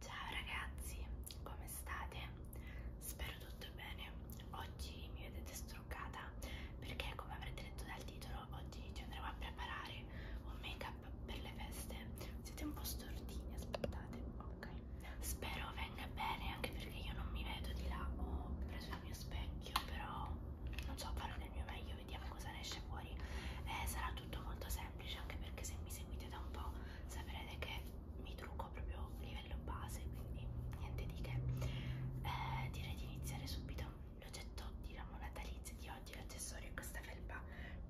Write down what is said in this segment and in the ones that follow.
Ciao ragazzi, come state? Spero tutto bene. Oggi mi vedete struccata perché, come avrete letto dal titolo, oggi ci andremo a preparare un make up per le feste. Siete un po' stordini, aspettate, ok spero venga bene anche perché io non mi vedo di là ho preso il mio specchio però non so farò del mio meglio vediamo cosa ne esce fuori eh, sarà tutto molto semplice anche perché se mi seguite da un po' saprete che mi trucco proprio a livello base quindi niente di che eh, direi di iniziare subito l'oggetto di ramo natalizio di oggi l'accessorio è questa felpa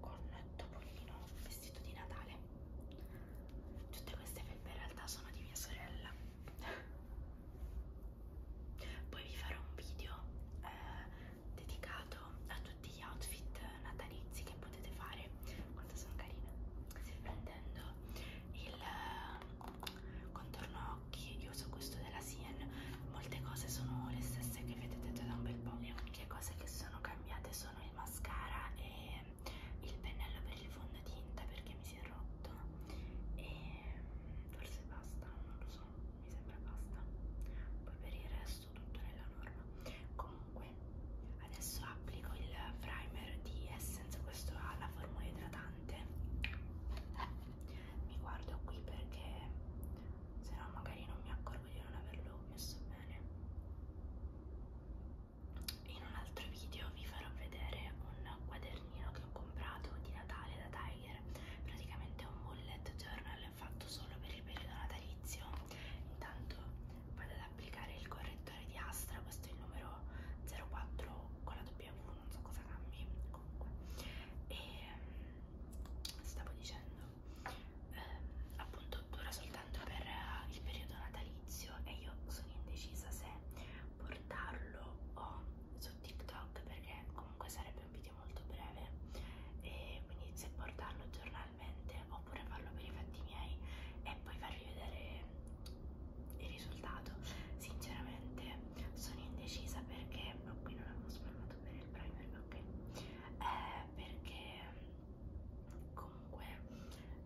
con topolino vestito di Natale Tutte queste felpe in realtà sono di mia sorella. Poi vi farò un video eh, dedicato a tutti gli outfit natalizi che potete fare. Quanto sono carine! Prendendo il eh, contorno occhi, io uso questo della Sien. Molte cose sono le stesse che vedete da un bel po'. Le uniche cose che sono cambiate sono il mascara e il pennello per il fondotinta perché mi si è rotto e mm, forse basta, non lo so, mi sembra basta poi per il resto tutto nella norma comunque adesso applico il primer di Essence questo ha la formula idratante mi guardo qui perché se no magari non mi accorgo di non averlo messo bene in un altro video vi farò vedere un quadernino che ho comprato di Natale da Tiger praticamente è un bullet journal fatto solo per il periodo natalizio intanto vado ad applicare il correttore di Astra questo è il numero 04 con la W non so cosa cambi comunque e mm, stavo dicendo eh, appunto dura solo soltanto per eh, il periodo natalizio e io sono indecisa se portarlo o su TikTok perché comunque sarebbe un video molto breve e quindi se portarlo giornalmente oppure farlo per i fatti miei e poi farvi vedere il risultato sinceramente sono indecisa perché oh, qui non avevo spalmato bene il primer ok eh, perché comunque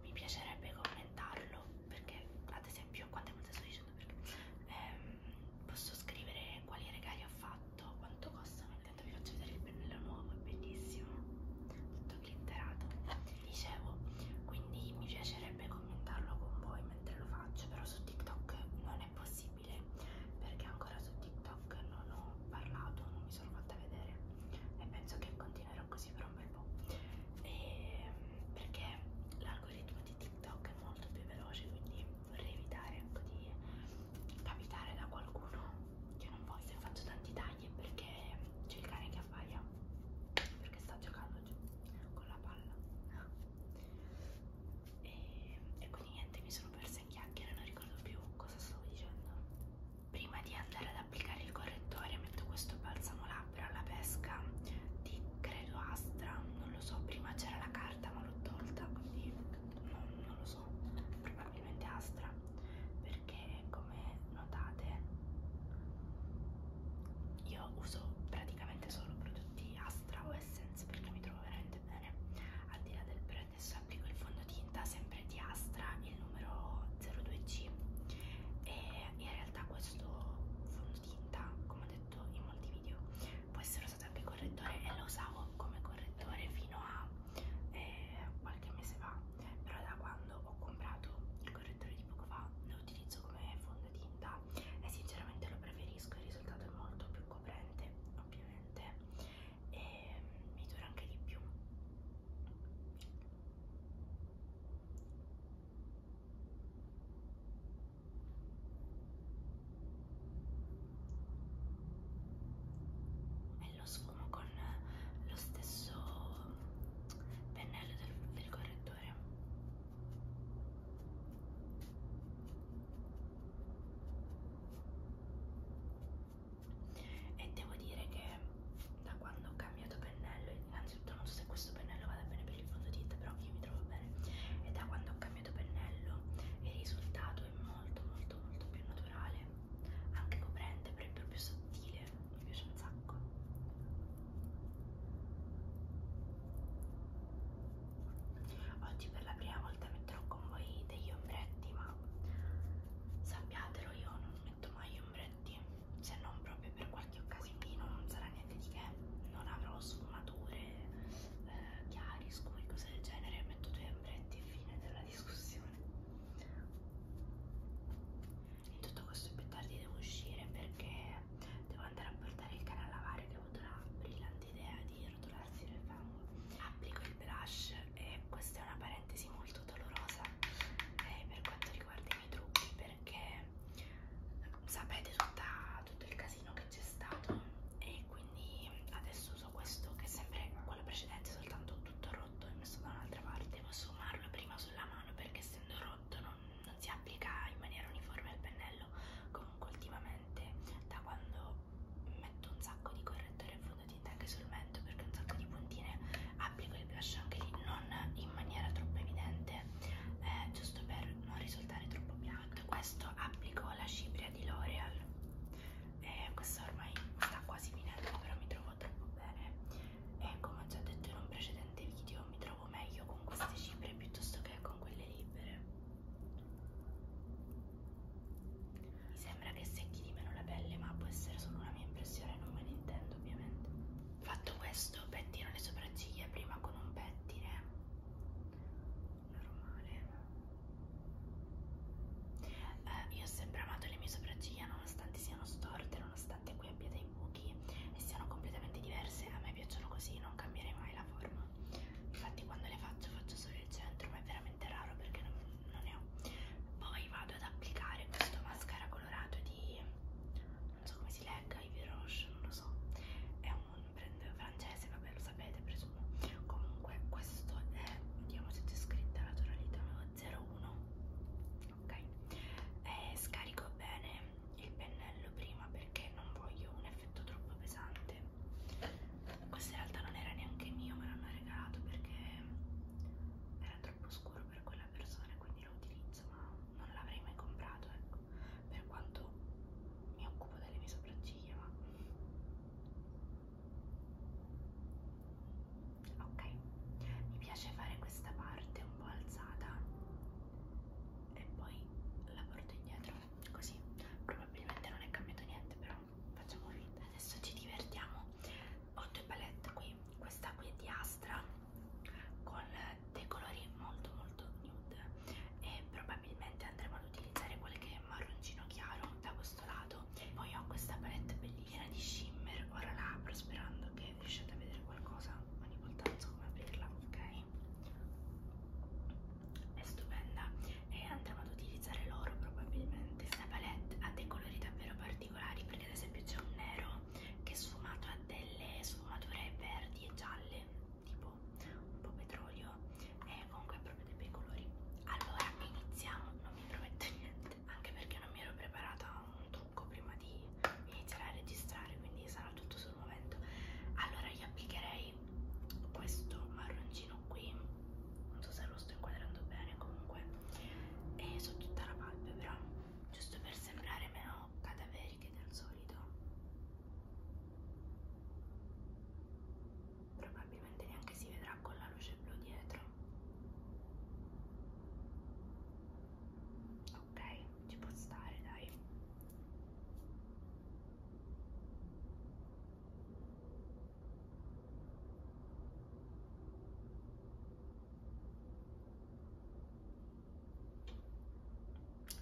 mi piacerebbe commentarlo perché ad esempio quante volte sto dicendo perché ehm, posso scrivere quali regali ho fatto quanto costano intanto vi faccio vedere il pennello nuovo è bellissimo tutto glitterato dicevo quindi mi piacerebbe commentarlo con voi mentre lo faccio però su TikTok non è possibile perché ancora su TikTok non ho parlato non mi sono fatta vedere e penso che continuerò continuerò così per un bel po' e, ehm, perché l'algoritmo di TikTok è molto più veloce quindi vorrei evitare ecco, di capitare da qualcuno che non voglio se faccio tanti tagli perché c'è il cane che abbaia perché sta giocando giù con la palla e, ehm, e quindi niente mi sono persa in chiacchiere non ricordo più cosa stavo dicendo prima di andare ad applicare il correttore metto questo balsamo labbra alla pesca di credo Astra non lo so prima c'era la carta ma l'ho tolta quindi non, non lo so probabilmente Astra perché come notate io uso praticamente solo prodotti Astra o Essence perché mi trovo veramente bene al di là del brand adesso applico il fondotino scelta sempre di Astra il numero 02C e in realtà questo fondotinta come ho detto in molti video può essere usato anche correttore e lo usavo come correttore fino a eh, qualche mese fa però da quando ho comprato il correttore di poco fa lo utilizzo come fondotinta e sinceramente lo preferisco il risultato è molto più coprente ovviamente e mi dura anche di più e lo sfumo con lo stesso pennello del, del correttore e devo dire che da quando ho cambiato pennello, innanzitutto non so se questo pennello vada bene per il fondotinta, però io mi trovo bene e da quando ho cambiato pennello il risultato è molto molto molto più naturale, anche coprente, però è proprio sottile, mi piace un sacco. Oggi per la prima volta metterò con voi degli ombretti, ma sappiatelo, io non metto mai timbretti se non proprio per qualche occasionino non sarà niente di che non avrò sfumature eh, chiari, scuri, cose del genere metto due ombretti e fine della discussione in tutto questo più tardi devo uscire perché devo andare a portare il cane a lavare che ho avuto la brillante idea di rotolarsi nel fango applico il blush e questa è una parentesi molto dolorosa eh, per quanto riguarda i miei trucchi perché eh, sapete tutta, tutto il casino che c'è stato e quindi adesso uso questo che è sempre quello precedente soltanto tutto rotto e messo da un'altra parte posso fumarlo prima sulla mano perché essendo rotto non, non si applica in maniera uniforme al pennello comunque ultimamente da quando metto un sacco di correttore e le dita anche sul mento perché un sacco di puntine applico il blush anche lì non in maniera troppo evidente eh, giusto per non risultare troppo piatto questo applico la cipria di L'Oreal eh, questa ormai sta quasi finendo però mi trovo troppo bene e come ho già detto in un precedente video mi trovo meglio con queste ciprie piuttosto che con quelle libere mi sembra che secchi di meno la pelle, ma può essere solo una mia impressione, non me ne intendo ovviamente. Fatto questo, pettino le sopracciglia prima con un pettine normale. Eh, io ho sempre amato le mie sopracciglia, nonostante siano storte, nonostante qui abbia dei buchi e siano completamente diverse, a me piacciono così, non cambierei mai la forma. Infatti, quando le faccio, faccio solo il centro, ma è veramente raro perché non, non ne ho poi vado ad applicare questo mascara colorato di non so come si legga Ivy Roche non lo so è un brand francese vabbè lo sapete presumo comunque questo è vediamo se c'è scritta la tonalità 01 ok e eh, scarico bene il pennello prima perché non voglio un effetto troppo pesante questo in realtà non era neanche mio me l'hanno regalato perché era troppo scuro per quella persona quindi lo utilizzo ma non l'avrei mai comprato ecco per quanto mi occupo delle mie sopracciglia ma ok mi piace fare questa parte un po' alzata e poi la porto indietro così probabilmente non è cambiato niente però facciamo finta, adesso ci divertiamo. Ho due palette qui, questa qui è di Astra con dei colori molto molto nude e probabilmente andremo ad utilizzare quelle che è marroncino chiaro da questo lato. Poi ho questa palette bellina di shimmer, ora la apro sperando che riusciate a vedere qualcosa, ogni volta non so come aprirla, ok? È stupenda e andremo ad utilizzare l'oro probabilmente. Questa palette ha dei colori davvero particolari perché ad esempio c'è un nero che è sfumato a delle sfumature verdi e gialle, tipo un po' petrolio e comunque proprio dei bei colori. Allora iniziamo, non mi prometto niente, anche perché non mi ero preparata un trucco prima di iniziare a registrare, quindi sarà tutto sul momento. Allora io applicherei questo marroncino vicino qui non so se lo sto inquadrando bene comunque e su tutta la palpebra giusto per sembrare meno cadaveriche del solito probabilmente neanche si vedrà con la luce blu dietro ok ci può stare dai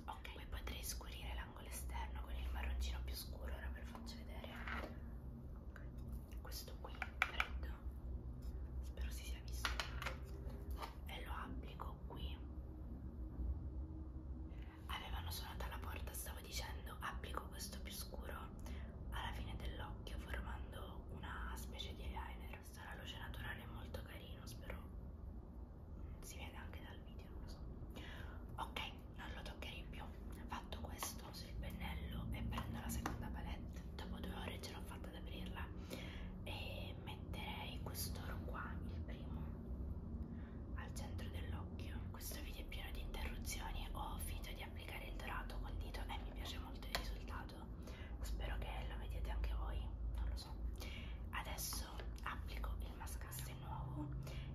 Ok, poi potrei scurire l'angolo esterno con il marroncino più scuro, ora ve lo faccio vedere. Okay. Questo qui, freddo, spero si sia visto, e lo applico qui. Avevano suonato alla porta, stavo dicendo applico questo più scuro alla fine dell'occhio formando una specie di eyeliner. Sta la luce naturale molto carino, spero si vede anche dal video, non lo so. Ok, non lo toccherei più. Fatto questo, uso il pennello e prendo la seconda palette. Dopo due ore ce l'ho fatta ad aprirla e metterei quest'oro qua, il primo, al centro dell'occhio. Questo video è pieno di interruzioni. Ho oh, finito di applicare il dorato col dito e mi piace molto il risultato spero che lo vediate anche voi non lo so adesso applico il mascasse nuovo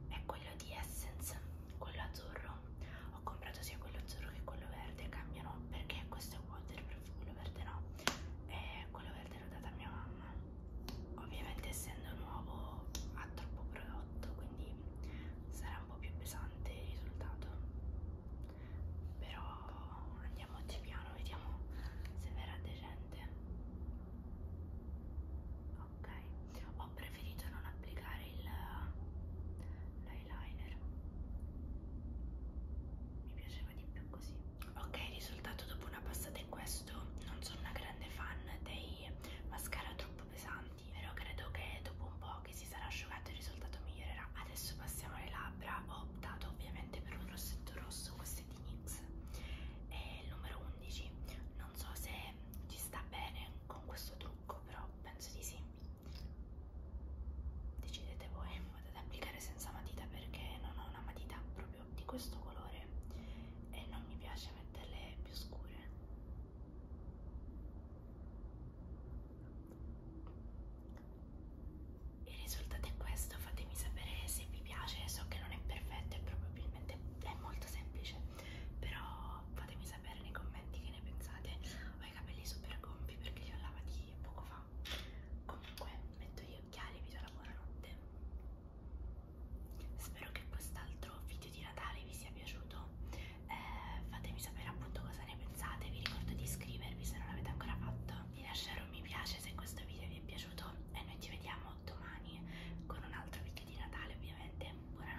è quello di Essence quello azzurro ho comprato sia quello azzurro che quello verde cambiano perché questo è waterproof quello verde no e quello verde l'ho data a mia mamma ovviamente essendo nuovo ha troppo prodotto quindi sarà un po' più pesante il risultato però andiamoci piano vediamo se verrà decente ok ho preferito non applicare il l'eyeliner mi piaceva di più così ok il risultato dopo una passata è questo non sono una grande fan dei mascara troppo pesanti avanti però credo che dopo un po' che si sarà asciugato il risultato migliorerà adesso passiamo alle labbra ho optato ovviamente per un rossetto rosso questo è di NYX è il numero 11 non so se ci sta bene con questo trucco però penso di sì decidete voi vado ad applicare senza matita perché non ho una matita proprio di questo colore e non mi piace metterle più scure il risultato è questo, fatemi sapere se vi piace, so che non è perfetto e probabilmente è molto semplice, però fatemi sapere nei commenti che ne pensate. Ho i capelli super gonfi perché li ho lavati poco fa. Comunque metto gli occhiali, vi do la buonanotte spero che quest'altro video di Natale vi sia piaciuto eh, fatemi sapere appunto cosa ne pensate vi ricordo di iscrivervi se non l'avete ancora fatto di lasciare un mi piace se questo video vi è piaciuto e noi ci vediamo domani con un altro video di Natale ovviamente buonanotte